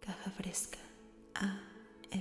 Caja Fresca ASMR.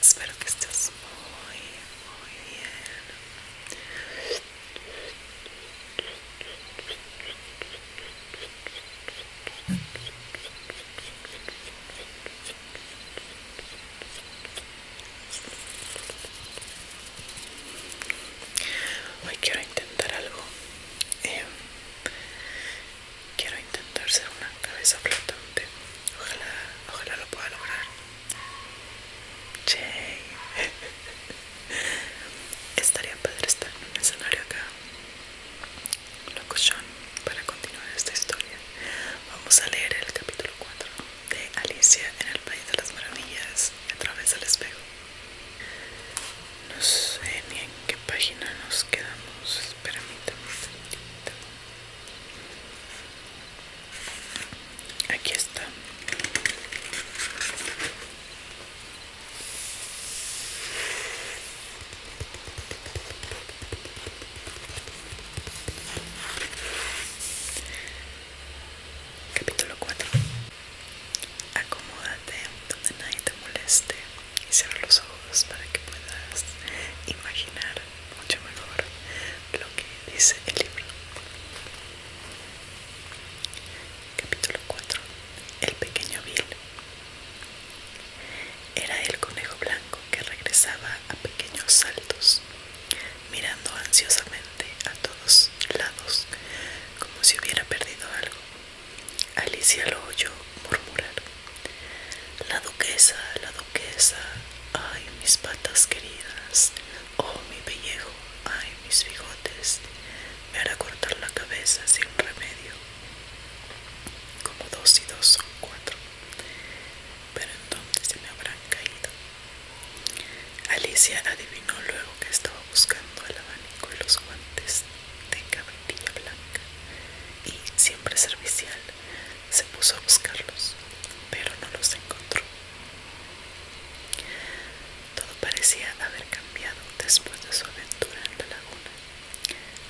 Espero que estés muy muy Hoy quiero intentar algo. Eh, quiero intentar ser una cabeza flotante. Ojalá, ojalá lo pueda lograr. Che. Estaría padre estar en un escenario acá. Locución para continuar esta historia. Vamos a leer el capítulo 4 de Alicia en el País de las Maravillas a través del espejo. No sé ni en qué página nos quedamos. Espérame, un Aquí está. Capítulo 4. Acomódate donde nadie te moleste y cierra los ojos para que puedas imaginar mucho mejor lo que dice el libro. Capítulo 4. El pequeño vil Era el conejo blanco que regresaba a pequeños saltos, mirando ansiosamente a todos lados, como si hubiera perdido algo. Alicia lo oyó murmurar. La duquesa, la duquesa, ay mis patas queridas, oh mi pellejo, ay mis bigotes, me hará cortar la cabeza sin remedio. Como dos y dos son cuatro. Pero entonces se me habrán caído. Alicia adivinó luego que estaba buscando el abanico y los guantes de cabritilla blanca y, siempre servicial, se puso a buscarlos, pero no los encontró. Todo parecía haber cambiado después de su aventura en la laguna.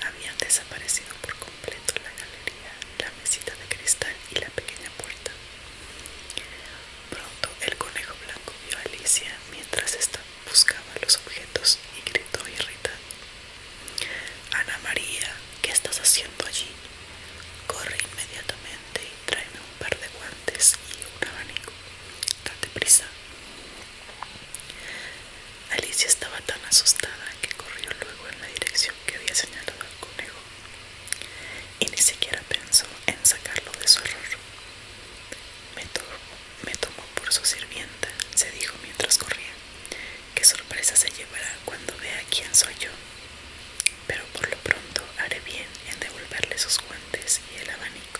Habían desaparecido por completo la galería, la mesita de cristal y la pequeña puerta. Pronto el conejo blanco vio a Alicia mientras esta buscaba los objetos y gritó irritado. Ana María, ¿qué estás haciendo allí? Corre inmediatamente y tráeme un par de guantes y un abanico. Date prisa. Alicia estaba tan asustada que corrió luego en la dirección que había señalado el conejo y ni siquiera pensó en sacarlo de su error. Me tomó, me tomó por su sirvienta, se dijo mientras corría qué sorpresa se llevará cuando vea quién soy yo. Pero por lo pronto haré bien en devolverle sus guantes y el abanico.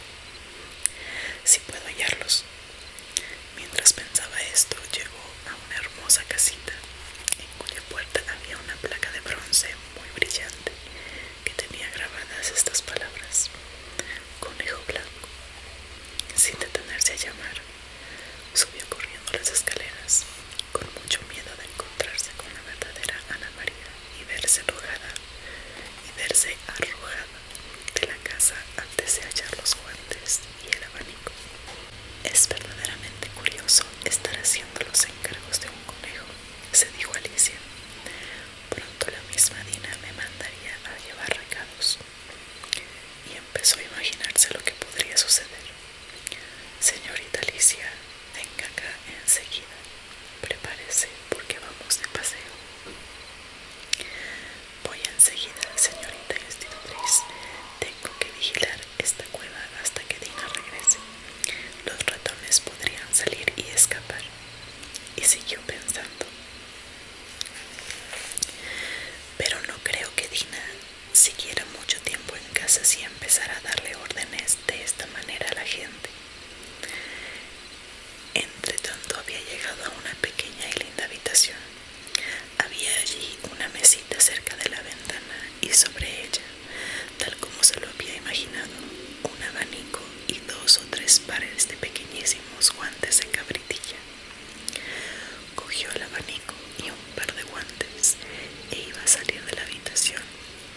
Si puedo hallarlos. Mientras pensaba esto, llegó a una hermosa casita, en cuya puerta había una placa de bronce muy brillante que tenía grabadas estas palabras: Conejo blanco. Sin detenerse a llamar, Subió corriendo las escaleras, con mucho miedo de encontrarse con la verdadera Ana María y verse arrojada, y verse arrojada de la casa antes de hallar los guantes y el abanico. Es verdaderamente curioso estar haciendo los encargos de un conejo, se dijo Alicia. Pronto la misma Dina me mandaría a llevar recados y empezó a imaginarse lo que podría suceder. Señorita Alicia, venga acá enseguida. Prepárese porque vamos de paseo. Voy enseguida, señorita institutriz. Tengo que vigilar esta cueva hasta que Dina regrese. Los ratones podrían salir y escapar. Y siguió pensando. Pero no creo que Dina siguiera mucho tiempo en casa si empezara a darle órdenes de esta manera a la gente. Entre tanto había llegado a una pequeña y linda habitación. Había allí una mesita cerca de la ventana y sobre ella, tal como se lo había imaginado, un abanico y dos o tres pares de pequeñísimos guantes de cabritilla. Cogió el abanico y un par de guantes e iba a salir de la habitación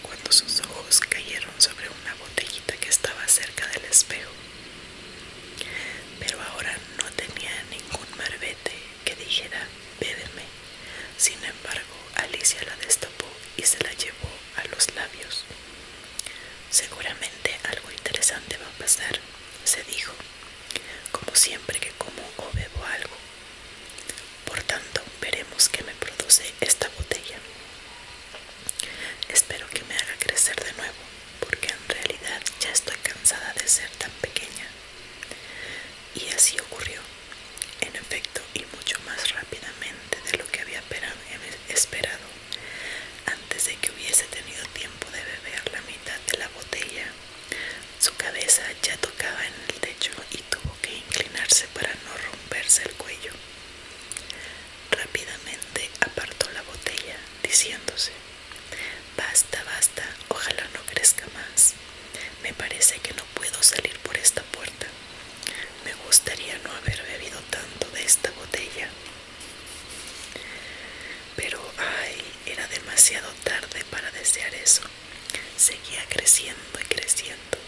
cuando sus ojos cayeron sobre una botellita que estaba cerca del espejo. Pero ahora no tenía ningún marbete que dijera bébeme. Sin embargo, Alicia la destapó y se la llevó a los labios. Seguramente algo interesante va a pasar, se dijo, como siempre que como o bebo algo. Por tanto, veremos qué me produce esta botella. Espero que me haga crecer de nuevo, porque en realidad ya estoy cansada de ser tan pequeña. Y así ocurrió, en efecto, y mucho más rápidamente de lo que había em- esperado. Antes de que hubiese tenido tiempo de beber la mitad de la botella, su cabeza ya tocaba en el techo y tuvo que inclinarse para no romperse el cuello. Rápidamente apartó la botella, diciéndose, Basta, basta, ojalá no crezca más. Me parece que no puedo salir por esta puerta. Me gustaría no haber bebido tanto de esta botella. Pero, ay, era demasiado tarde para desear eso. Seguía creciendo y creciendo.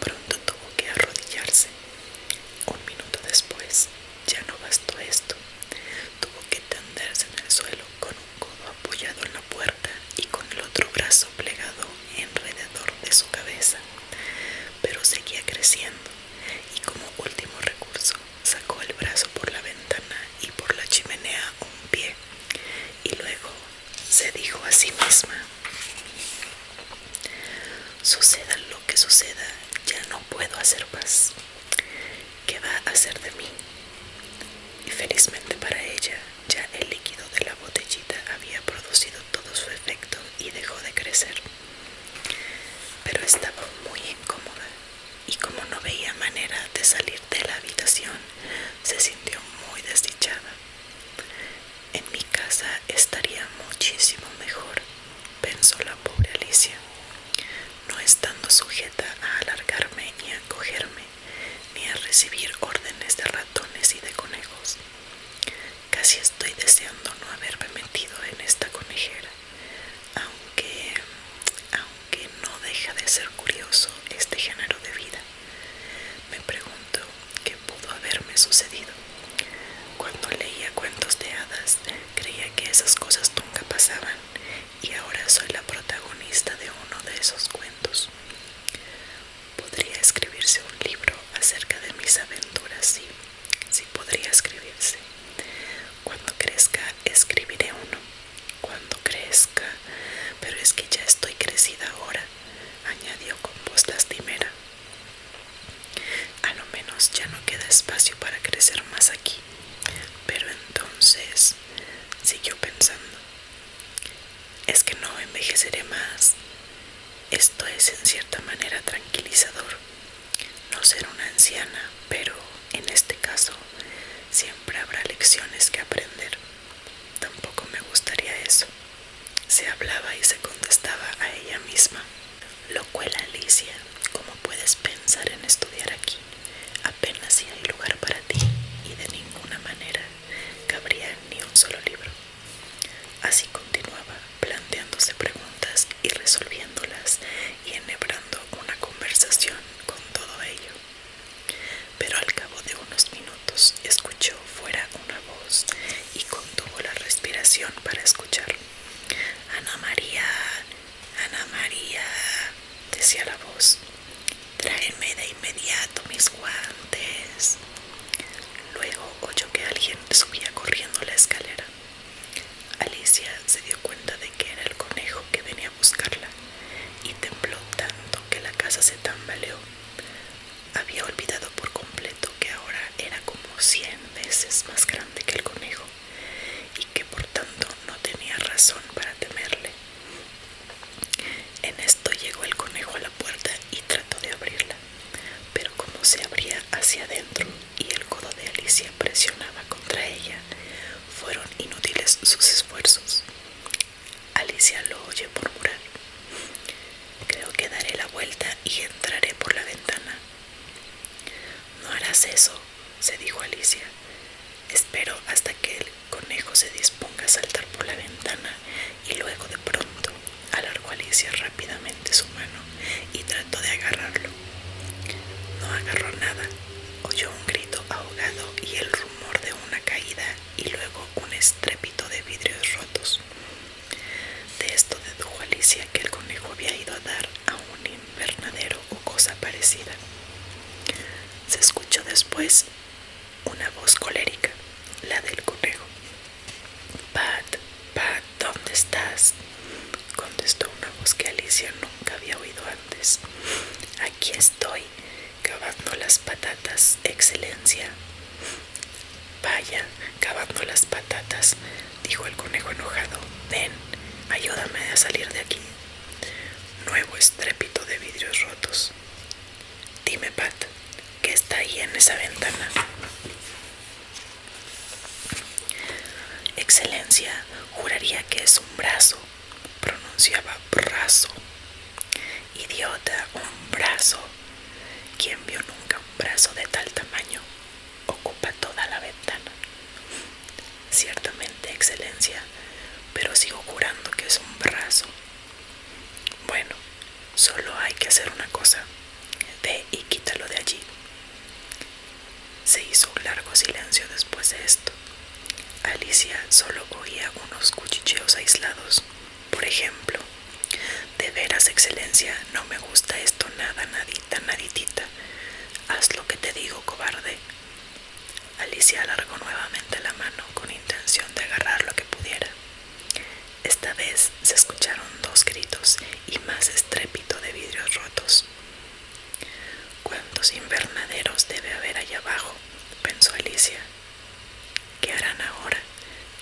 Pronto tuvo que arrodillarse. Un minuto después, ya no bastó esto. Tuvo que tenderse en el suelo con un codo apoyado en la puerta y con el otro brazo plegado alrededor de su cabeza. Pero seguía creciendo y como último recurso sacó el brazo por la ventana y por la chimenea un pie y luego se dijo a sí misma suceda lo que suceda ya no puedo hacer más ¿qué va a hacer de mí? y felizmente para ella ya el líquido de la botellita había producido todo su efecto y dejó de crecer pero estaba muy incómoda y como no veía manera de salir de la habitación, se sintió muy desdichada. En mi casa estaría muchísimo mejor, pensó la pobre Alicia, no estando sujeta a alargarme ni a cogerme, ni a recibir órdenes de ratones y de conejos. Casi estoy deseando no haberme metido en esta conejera, aunque, aunque no deja de ser curioso este género de vida. Me pregunto qué pudo haberme sucedido. Cuando leía cuentos de hadas, creía que esas cosas nunca pasaban y ahora soy la protagonista de uno de esos cuentos. Podría escribirse un libro acerca de mis aventuras, sí, si podría escribirse. Cuando crezca escribiré uno. Cuando crezca. Pero es que ya estoy crecida ahora, añadió con voz lastimera. A lo menos ya no queda espacio para crecer más aquí. Pero entonces, siguió pensando, es que no envejeceré más. Esto es en cierta manera tranquilizador no ser una anciana, pero en este caso siempre habrá lecciones que aprender. Tampoco me gustaría eso. Se hablaba y se contestaba a ella misma. Lo cual Alicia, como puedes pensar en estudiar aquí, apenas si hay lugar para ti y de ninguna manera cabría ni un solo libro. Así continuaba, planteándose preguntas y resolviéndolas y enhebrando una conversación con todo ello. Pero al cabo de unos minutos escuchó fuera una voz y contuvo la respiración para escuchar. Ana María, Ana María, decía la voz, tráeme de inmediato mis guantes. Luego oyó que alguien subía corriendo la escalera. Alicia se dio cuenta de que era el conejo que venía a buscarla y tembló tanto que la casa se tambaleó. Había olvidado por completo que ahora era como cien veces más grande que el conejo y que por tanto no tenía razón para temerle. En esto llegó el conejo a la puerta y trató de abrirla, pero como se abría hacia adentro y el codo de Alicia presionaba contra ella, fueron inútiles sus esfuerzos. Alicia lo oye murmurar. Creo que daré la vuelta y entraré por la ventana. No harás eso, se dijo Alicia. Espero hasta que el conejo se disponga a saltar por la ventana y luego de pronto alargó Alicia rápidamente su mano y trató de agarrarlo. No agarró nada, oyó un grito ahogado y el rumor de una caída y luego un estrépito de vidrios rotos. De esto dedujo Alicia que el conejo había ido a dar a un invernadero o cosa parecida. Se escuchó después una voz colérica, la del conejo. Pat, Pat, ¿dónde estás? Contestó una voz que Alicia nunca había oído antes. Aquí estoy, cavando las patatas, excelencia. Vaya, cavando las patatas, dijo el conejo enojado. Ven, ayúdame a salir de aquí. Nuevo estrépito de vidrios rotos. Dime, Pat, ¿qué está ahí en esa ventana? Excelencia, juraría que es un brazo. Pronunciaba brazo. Idiota, un brazo. ¿Quién vio nunca un brazo de tal tamaño? Ocupa toda la ventana. Ciertamente, Excelencia, pero sigo jurando que es un brazo. Bueno, solo hay que hacer una cosa. Ve y quítalo de allí. Se hizo un largo silencio después de esto. Alicia solo oía unos cuchicheos aislados. Por ejemplo, de veras, excelencia, no me gusta esto nada, nadita, naditita. Haz lo que te digo, cobarde. Alicia alargó nuevamente la mano con intención de agarrar lo que pudiera. Esta vez se escucharon dos gritos y más estrépito de vidrios rotos. ¿Cuántos invernaderos debe haber allá abajo? pensó Alicia. ¿Qué harán ahora?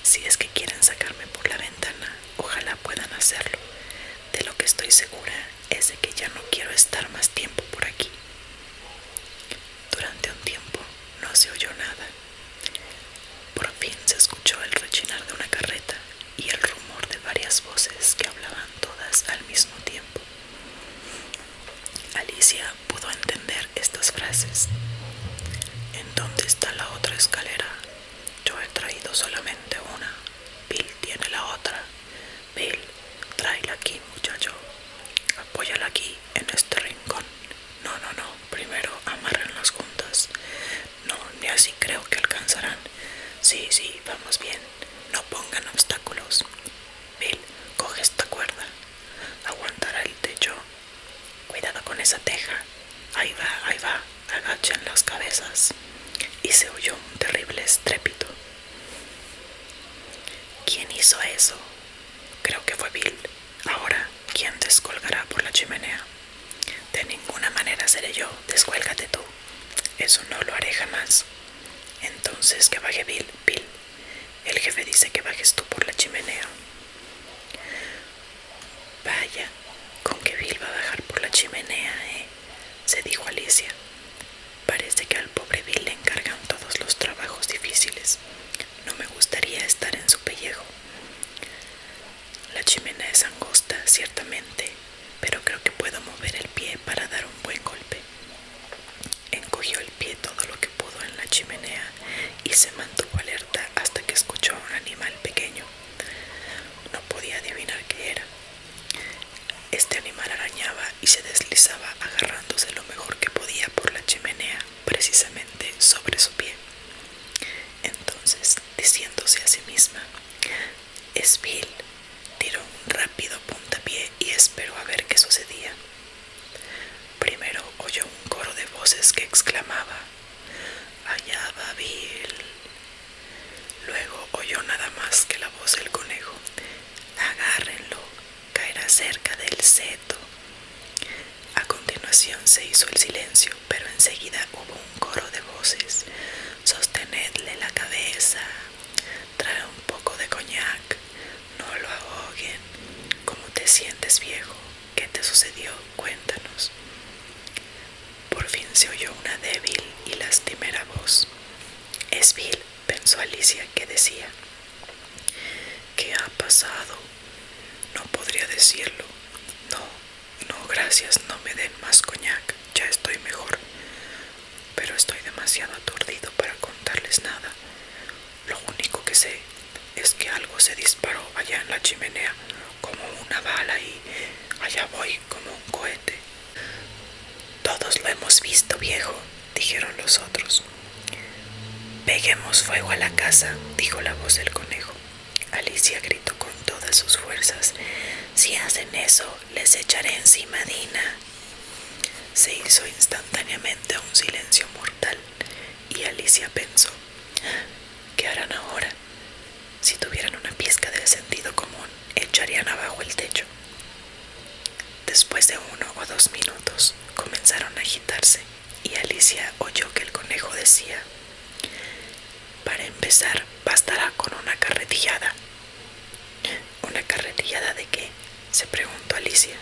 Si es que quieren sacarme por la ventana, ojalá puedan hacerlo. De lo que estoy segura es de que ya no quiero estar más tiempo por aquí. Durante un tiempo no se oyó nada. Por fin se escuchó el rechinar de una carreta y el rumor de varias voces que hablaban todas al mismo tiempo. Alicia pudo entender estas frases. ¿En dónde está la otra escalera? Yo he traído solamente una. Bill tiene la otra. Bill, tráela aquí, muchacho. Apóyala aquí, en este rincón. No, no, no, primero amarran las juntas. No, ni así creo que alcanzarán. Sí, sí, vamos bien. No pongan obstáculos. Bill, coge esta cuerda. Aguantará el techo. Cuidado con esa teja. Ahí va, ahí va. Agachen las cabezas. Y se oyó un terrible estrépito. ¿Quién hizo eso? Creo que fue Bill. Ahora, ¿quién descolgará por la chimenea? De ninguna manera seré yo, descuélgate tú. Eso no lo haré jamás. Entonces que baje Bill, Bill. El jefe dice que bajes tú por la chimenea. Vaya, con que Bill va a bajar por la chimenea, ¿eh? se dijo Alicia. Parece que al pobre Bill le encargan todos los trabajos difíciles. No me gustaría estar en su pellejo. La chimenea es angosta, ciertamente, pero creo que puedo mover el pie para dar un buen golpe. Encogió el pie todo lo que pudo en la chimenea y se mantuvo alerta hasta que escuchó a un animal pequeño. No podía adivinar qué era. Este animal arañaba y se deslizaba agarrándose lo mejor que podía por la chimenea precisamente sobre su pie. Entonces, diciéndose a sí misma, es Bill, tiró un rápido puntapié y esperó a ver qué sucedía. Primero oyó un coro de voces que exclamaba, allá va Bill. Luego oyó nada más que la voz del conejo, agárrenlo, caerá cerca del seto. A continuación se hizo el silencio, pero enseguida hubo un coro de voces. Sostenedle la cabeza, trae un poco de coñac, no lo ahoguen. ¿Cómo te sientes viejo? ¿Qué te sucedió? Cuéntanos. Por fin se oyó una débil y lastimera voz. Es pensó Alicia, que decía, ¿Qué ha pasado? No podría decirlo. No, no, gracias, no me den más coñac, ya estoy mejor. Pero estoy demasiado aturdido para contarles nada. Lo único que sé es que algo se disparó allá en la chimenea, como una bala y allá voy como un cohete. Todos lo hemos visto, viejo, dijeron los otros. Peguemos fuego a la casa, dijo la voz del conejo. Alicia gritó con todas sus fuerzas. Si hacen eso, les echaré encima Dina. Se hizo instantáneamente un silencio mortal y Alicia pensó, ¿qué harán ahora? Si tuvieran una pizca de sentido común, echarían abajo el techo. Después de uno o dos minutos comenzaron a agitarse y Alicia oyó que el conejo decía, para empezar bastará con una carretillada. ¿Una carretillada de qué? se preguntó Alicia.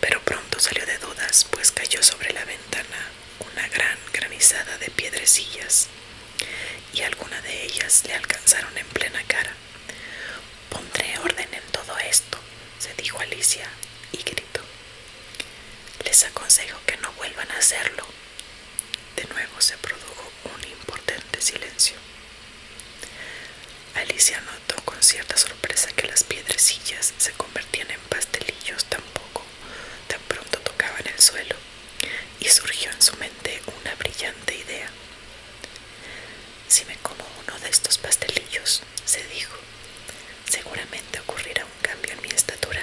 Pero pronto salió de dudas, pues cayó sobre la ventana una gran granizada de piedrecillas y alguna de ellas le alcanzaron en plena cara. Pondré orden en todo esto, se dijo Alicia, y gritó. Les aconsejo que no vuelvan a hacerlo. De nuevo se produjo un importante silencio. Alicia notó con cierta sorpresa que las piedrecillas se convertían en pastelillos tan poco, tan pronto tocaban el suelo, y surgió en su mente una brillante idea. Si me como uno de estos pastelillos, se dijo, seguramente ocurrirá un cambio en mi estatura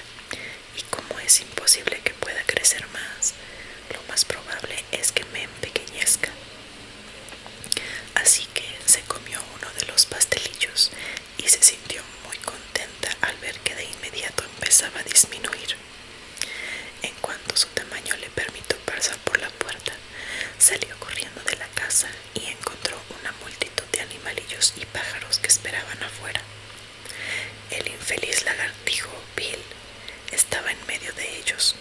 y como es imposible que pueda crecer más, lo más probable es que me empequeñezca. Así que se comió uno de los pastelillos y se sintió muy contenta al ver que de inmediato empezaba a disminuir. En cuanto su tamaño le permitió pasar por la puerta, salió corriendo de la casa y encontró una multitud de animalillos y pájaros que esperaban afuera. El infeliz lagartijo Bill estaba en medio de ellos.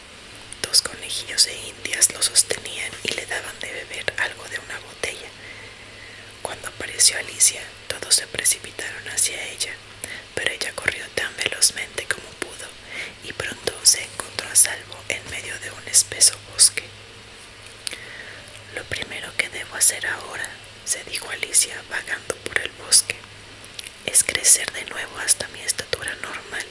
Dos conejillos de indias lo sostenían y le daban de beber algo de una botella. Cuando apareció Alicia, todos se precipitaron hacia ella, pero ella corrió tan velozmente como pudo y pronto se encontró a salvo en medio de un espeso bosque. Lo primero que debo hacer ahora, se dijo Alicia vagando por el bosque, es crecer de nuevo hasta mi estatura normal.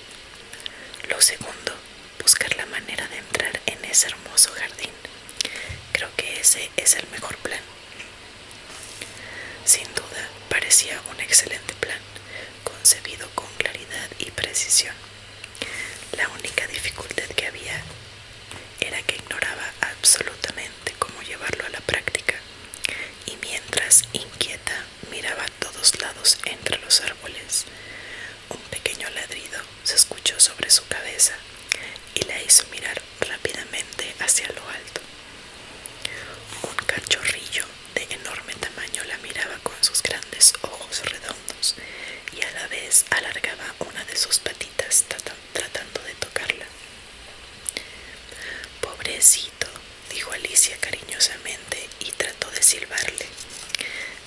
Lo segundo, buscar la manera de entrar en ese hermoso jardín. Creo que ese es el mejor plan. Sin duda, parecía un excelente plan, concebido con claridad y precisión. La única dificultad que había era que ignoraba absolutamente cómo llevarlo a la práctica, y mientras inquieta miraba a todos lados entre los árboles, un pequeño ladrido se escuchó sobre su cabeza y la hizo mirar rápidamente hacia lo alto. Un cachorrillo de enorme tamaño la miraba con sus grandes ojos redondos y a la vez alargaba una de sus patitas tratando de tocarla. Pobrecito, dijo Alicia cariñosamente y trató de silbarle,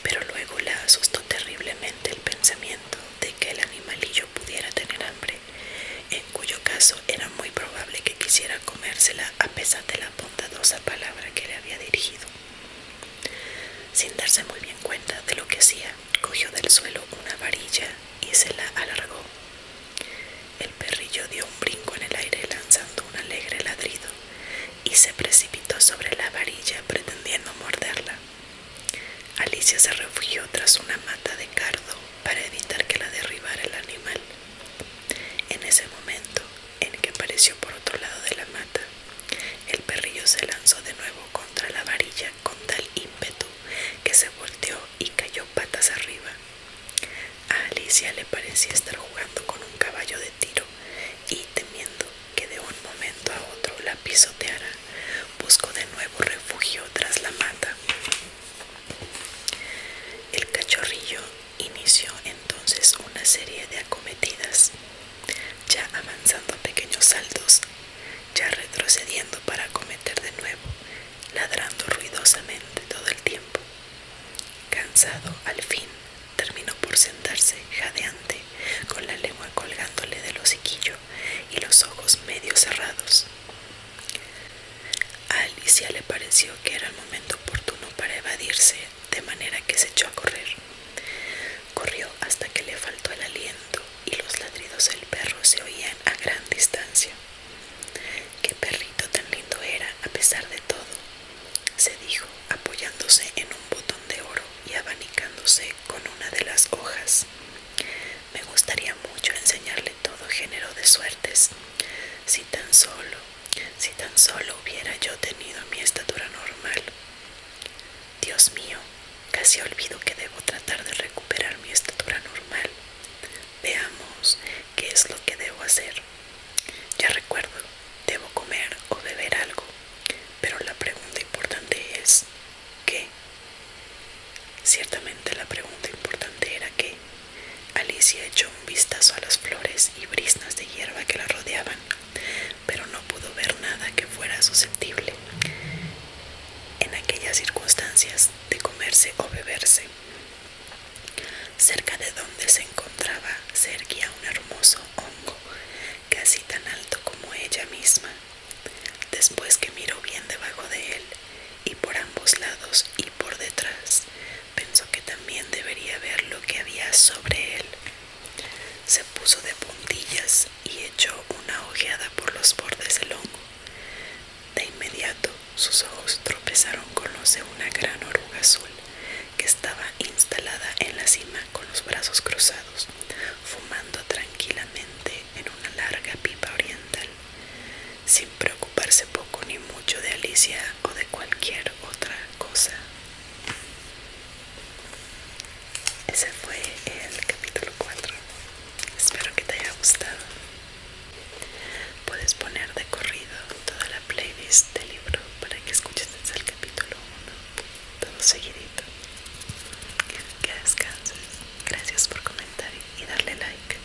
pero luego la asustó terriblemente el pensamiento de que el animalillo pudiera tener hambre, en cuyo caso era muy probable que quisiera comérsela a pesar de la bondadosa palabra que le había dirigido. Sin darse muy bien cuenta de lo que hacía, cogió del suelo una varilla y se la alargó. El perrillo dio un brinco en el aire lanzando un alegre ladrido y se precipitó sobre la varilla pretendiendo morderla. Alicia se refugió tras una mata de cardo para evitar que la derribara el animal en ese momento en que apareció por otro lado de la mata, el perrillo se lanzó de nuevo contra la varilla con tal ímpetu que se volteó y cayó patas arriba. A Alicia le parecía estar jugando con un caballo de tiro y temiendo que de un momento a otro la pisoteara, buscó de nuevo refugio tras la mata. El cachorrillo inició entonces una serie de acometidas, ya avanzando pequeños saltos, ya retrocediendo para acometer de nuevo, ladrando ruidosamente todo el tiempo. Cansado, al fin, terminó por sentarse jadeante, con la lengua colgándole del hociquillo y los ojos medio cerrados. A Alicia le pareció que era el momento oportuno para evadirse, de manera que se echó a correr. Corrió hasta que le faltó el aliento y los ladridos del perro se oían a gran distancia. Qué perrito tan lindo era, a pesar de todo, se dijo, apoyándose en un botón de oro y abanicándose con una de las hojas. Me gustaría mucho enseñarle todo género de suertes. Si tan solo, si tan solo hubiera yo tenido mi estatura normal. Dios mío, casi olvido que debo tratar de recuperar mi estatura normal. Veamos qué es lo que debo hacer. Ya recuerdo, debo comer o beber algo, pero la pregunta importante es, ¿qué? Ciertamente la pregunta importante era qué. Alicia echó un vistazo a las flores y brisnas de hierba que la rodeaban, pero no pudo ver nada que fuera susceptible, en aquellas circunstancias, de comerse o beberse. Cerca de donde se encontraba se erguía un hermoso hongo, casi tan alto como ella misma. Después que miró bien debajo de él, y por ambos lados y por detrás. Pensó que también debería ver lo que había sobre él. Se puso de puntillas y echó una ojeada por los bordes del hongo. De inmediato sus ojos tropezaron con los de una gran oruga azul que estaba instalada en la cima con los brazos cruzados, fumando tranquilamente en una larga pipa oriental sin preocuparse poco ni mucho de Alicia o de cualquier otra cosa. Ese fue el capítulo 4. Espero que te haya gustado. Puedes poner de corrido toda la playlist del libro para que escuches el capítulo 1, todo seguidito. Que descanses. Gracias por comentar y darle like.